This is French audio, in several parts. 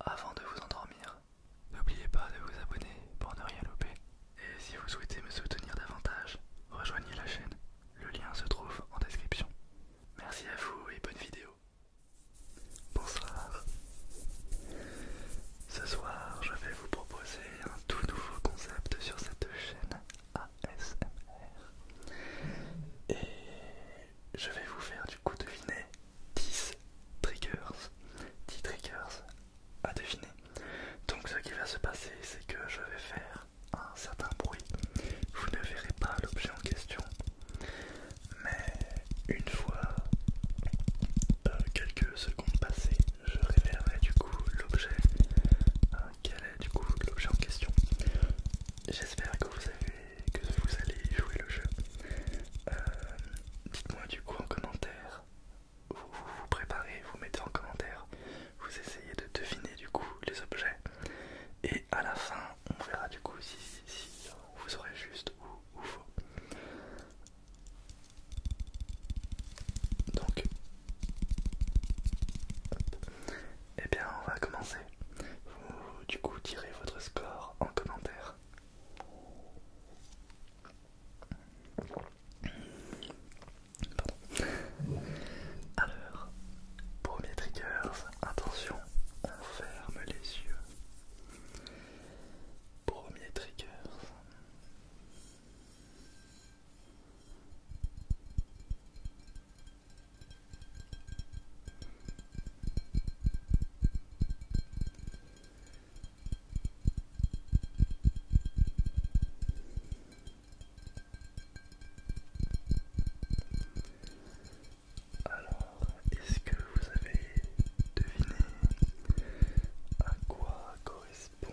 Avant de vous endormir, n'oubliez pas de vous abonner pour ne rien louper. Et si vous souhaitez me soutenir davantage, rejoignez la chaîne. Le lien se trouve en description. Merci à vous et bonne vidéo. Bonsoir. Ce soir, je vais vous proposer un tout nouveau concept sur cette chaîne ASMR. Et je vais vous faire du coup deviner 10 triggers, 10 triggers à deviner. Donc ce qui va se passer, c'est que je vais faire un certain bruit. Vous ne verrez pas l'objet en question, mais une fois euh, quelques secondes passées, je révélerai du coup l'objet. Euh, quel est du coup l'objet en question J'espère que vous avez que vous allez jouer le jeu. Euh, dites-moi du coup en commentaire. Vous, vous préparez, vous mettez en commentaire, vous essayez de deviner du coup les objets. Et à la fin, on verra du coup si, vous aurez juste ou, faux. Donc, et eh bien, on va commencer. Vous, du coup, tirez votre score en commentaire. Alors, premier triggers, attention, on ferme les yeux. Premier triggers. Alors, est-ce que vous avez deviné à quoi correspond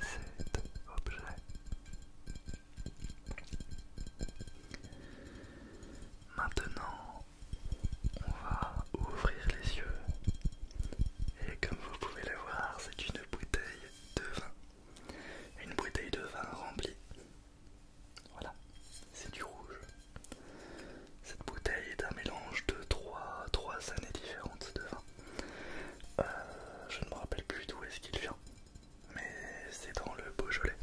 cet objet Maintenant, on va ouvrir les yeux et comme vous pouvez le voir c'est une bouteille de vin une bouteille de vin remplie voilà c'est du rouge cette bouteille est un mélange de trois années différentes de vin euh, je ne me rappelle plus d'où est-ce qu'il vient mais c'est dans le Beaujolais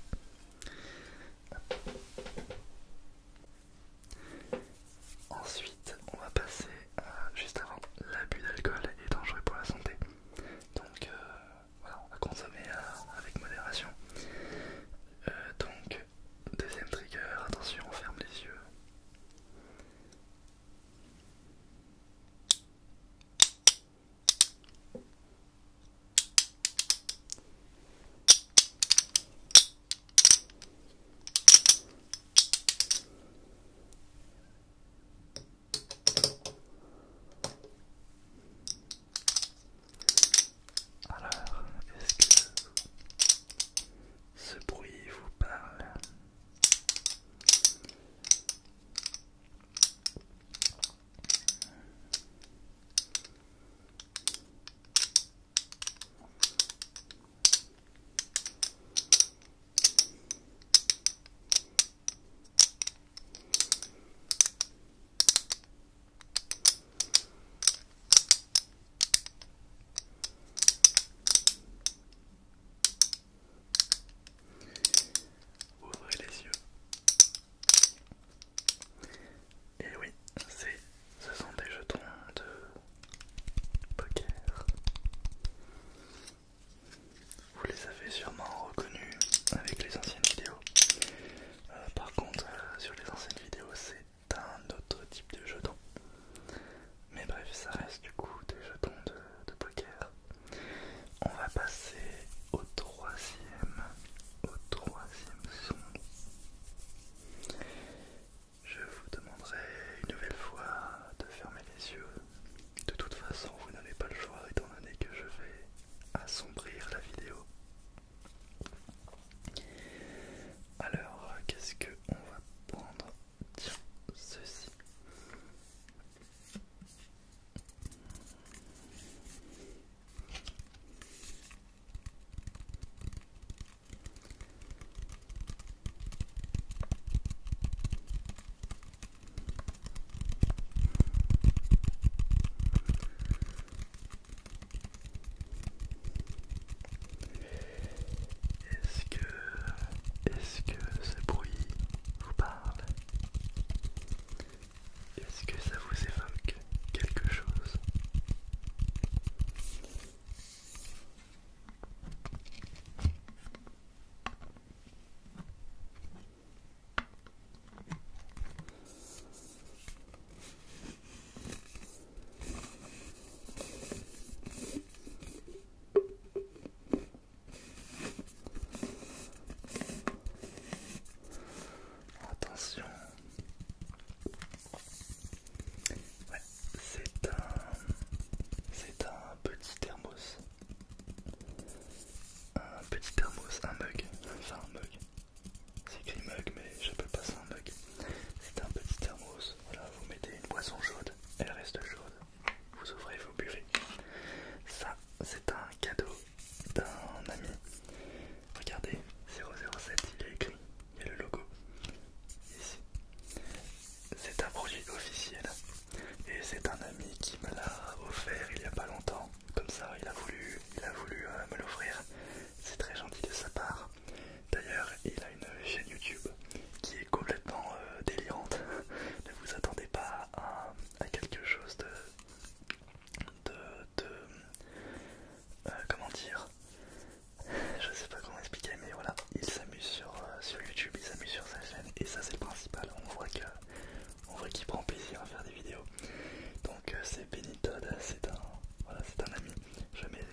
Ensuite, on va passer à juste avant l'abus d'alcool est dangereux pour la santé. Donc euh, voilà, on va consommer euh, avec modération. Euh, donc, deuxième trigger, attention, on ferme les yeux. Alors, est-ce que ce bruit vous parle Ouvrez les yeux. Et oui, ce sont des jetons de poker. Vous les avez sûrement reconnus avec les anciennes vidéos. Euh, par contre, euh, sur les anciennes vidéos, c'est un autre type de jeton. Mais bref, ça reste du coup des jetons de, poker. On va passer au troisième, au troisième son je vous demanderai une nouvelle fois de fermer les yeux. De toute façon, vous n'avez pas le choix étant donné que je vais assombrir la vidéo. Alors, qu'est-ce que on va prendre Tiens, ceci. Est-ce que est-ce que ce bruit vous parle est-ce que ça vous évoque quelque chose Attention, c'est un, c'est un petit thermos, un petit thermos, un mug, enfin un mug. C'est écrit mug, mais peux pas ça un mug. C'est un petit thermos. Voilà, vous mettez une boisson chaude, elle reste chaude. Vous ouvrez, vous buvez. Ça, c'est un cadeau d'un ami regardez, 007, il est écrit, il y a le logo, ici. C'est un produit officiel, et c'est un ami qui me l'a offert il n'y a pas longtemps, comme ça, il a voulu, il a voulu euh, me l'offrir, c'est très gentil de sa part. D'ailleurs, il a une chaîne YouTube qui est complètement euh, délirante, ne vous attendez pas à quelque chose de de, euh, comment dire je sais pas comment expliquer mais voilà il s'amuse sur, euh, sur youtube il s'amuse sur sa chaîne et ça c'est le principal on voit que on voit qu'il prend plaisir à faire des vidéos donc euh, c'est Benny c'est un voilà c'est un ami je mets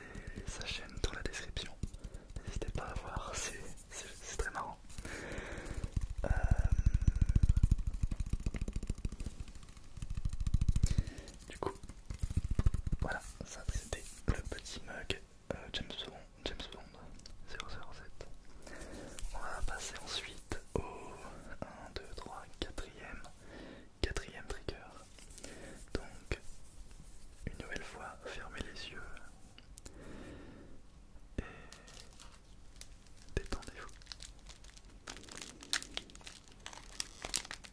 sa chaîne dans la description n'hésitez pas à voir c'est très marrant du coup, voilà, ça c'était le petit mug euh, James Bond, James Bond 007. On va passer ensuite au 1, 2, 3, 4 e 4ème trigger. Donc, une nouvelle fois, fermez les yeux et détendez-vous.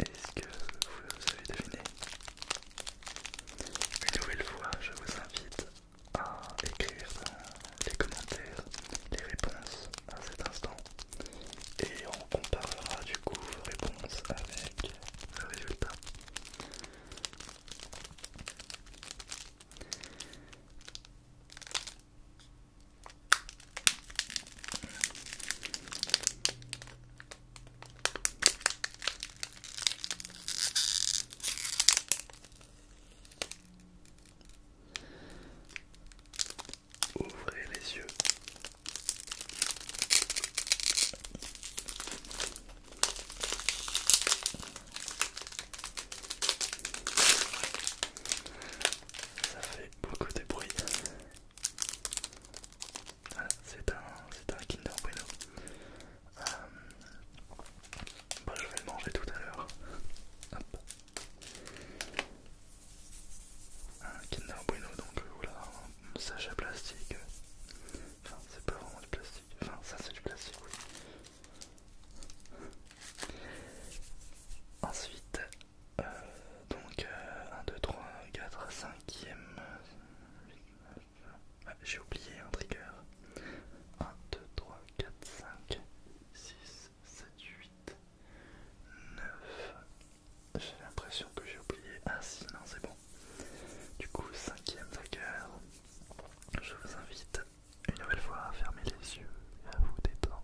Est-ce que vous avez deviné Une nouvelle fois, je vous invite à écrire les commentaires les réponses à cet instant et on comparera du coup vos réponses avec le résultat. Ouvrez les yeux. Ça fait beaucoup de bruit. Voilà, c'est un, un Kinder Bueno. Euh, bah, je vais le manger tout à l'heure. Un Kinder Bueno, donc euh, voilà, un sachet plastique. Enfin, c'est pas vraiment du plastique. Enfin, ça c'est du plastique, oui. Ensuite, euh, donc 1, 2, 3, 4, 5 e J'ai oublié un trigger. 1, 2, 3, 4, 5, 6, 7, 8, 9. J'ai l'impression que j'ai oublié. Ah si, non, c'est bon. Du coup, 5e trigger. Je vous invite une nouvelle fois, à fermer les yeux et à vous détendre.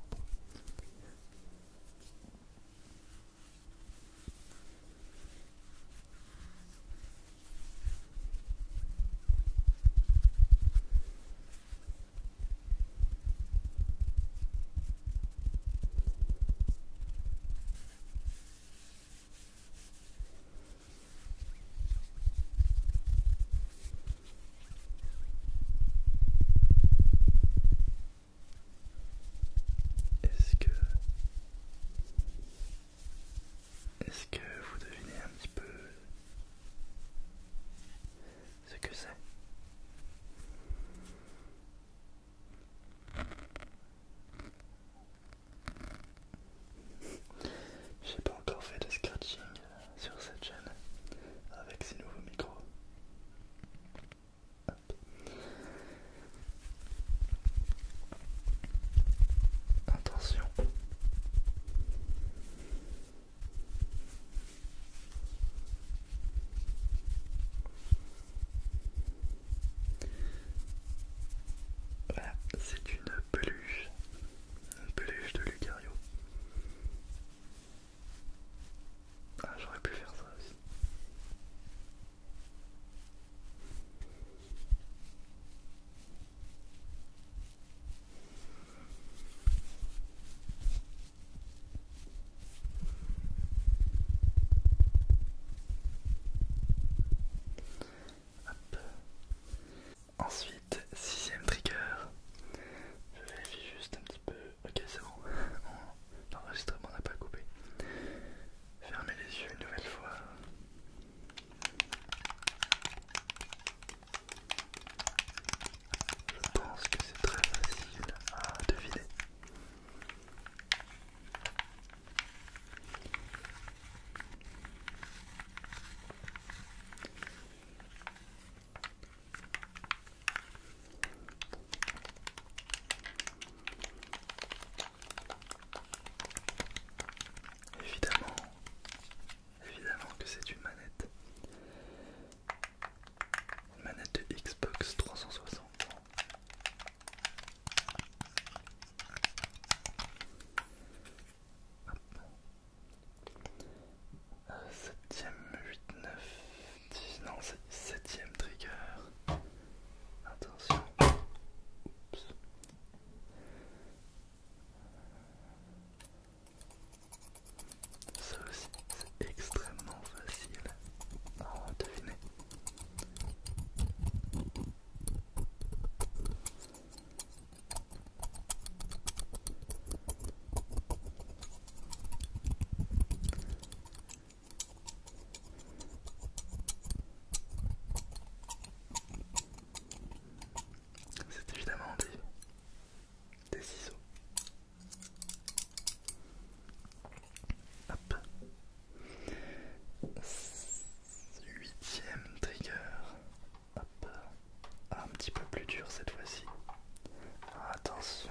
Est-ce que... Est-ce que vous devinez un petit peu ce que c'est J'ai pas encore fait de scratching sur cette chaîne avec ces nouveaux micros. Attention. Voilà, c'est une peluche, une peluche de Lucario. Ah, j'aurais pu faire ça aussi. Ensuite, sixième trigger. Je vérifie juste un petit peu. Ok, c'est bon. L'enregistrement n'a pas coupé. Fermez les yeux une nouvelle fois. Je pense que c'est très facile à deviner. Évidemment, évidemment que c'est une manette. manette de Xbox 360. 7 septième, 8, 9, 10, non c'est septième trigger. Attention. Oups. Ça aussi, c'est extrêmement facile à deviner. C'est évidemment des, ciseaux. Huitième trigger un petit peu plus dur cette fois-ci. attention.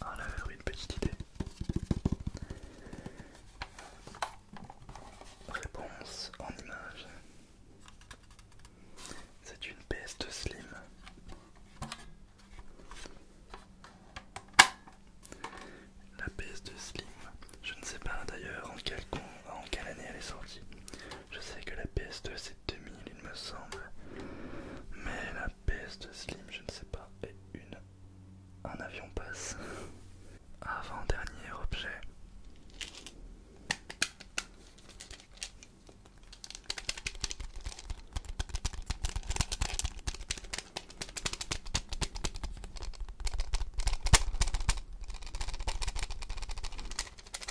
Alors, ah, une petite idée. Réponse en image. C'est une PS2 Slim. La PS2 Slim, je ne sais pas d'ailleurs en, en quelle année elle est sortie. Je sais que la PS2 c'est 2000 il me semble. Mais la PS2 Slim, je ne sais pas, est une. Un avion passe. Avant-dernier objet. Est-ce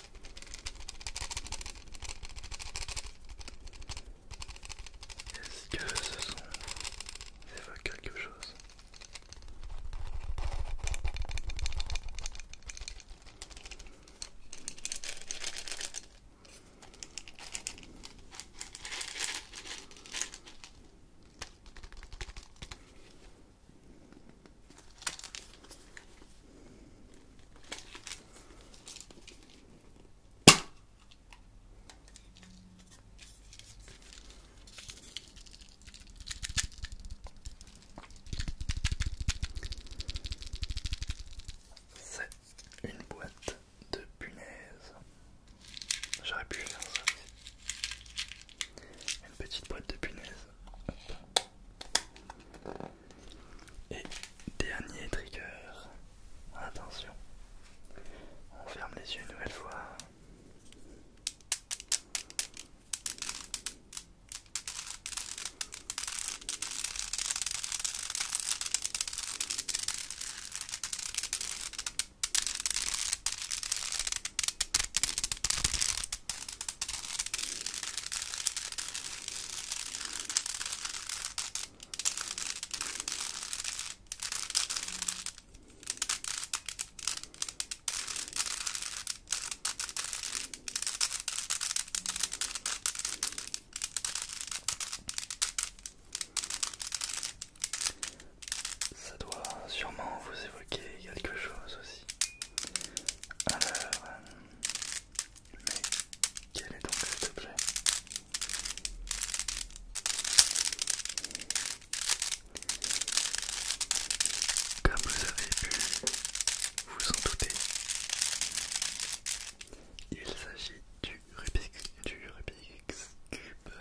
que ce son vous évoque quelque chose c'est une boîte de punaises. J'aurais pu faire ça. Une petite boîte de punaises. Et dernier trigger, attention, on ferme les yeux une nouvelle fois. Ça doit sûrement vous évoquer quelque chose aussi. Alors, mais quel est donc cet objet Comme vous avez pu vous en douter, il s'agit du Rubik's, Cube. Rubik's Cube.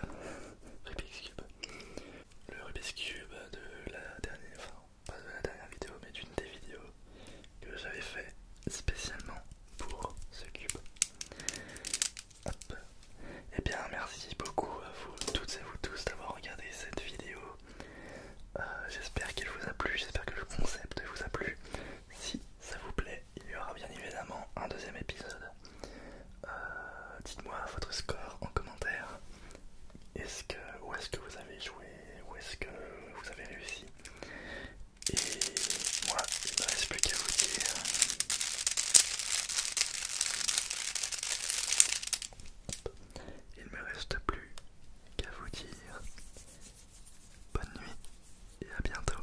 Le Rubik's Cube de la dernière, fois pas de la dernière vidéo, mais d'une des vidéos que j'avais fait spécialement pour ce cube. Hop. Et eh bien, merci beaucoup à vous toutes et vous tous d'avoir regardé cette vidéo. Euh, j'espère qu'elle vous a plu, j'espère que le concept vous a plu. Si ça vous plaît, il y aura bien évidemment un deuxième épisode. Euh, dites-moi votre score en commentaire où est-ce que vous avez joué, où est-ce que vous avez réussi. Et moi, il ne me reste plus qu'à vous dire. Il ne me reste plus qu'à vous dire bonne nuit et à bientôt.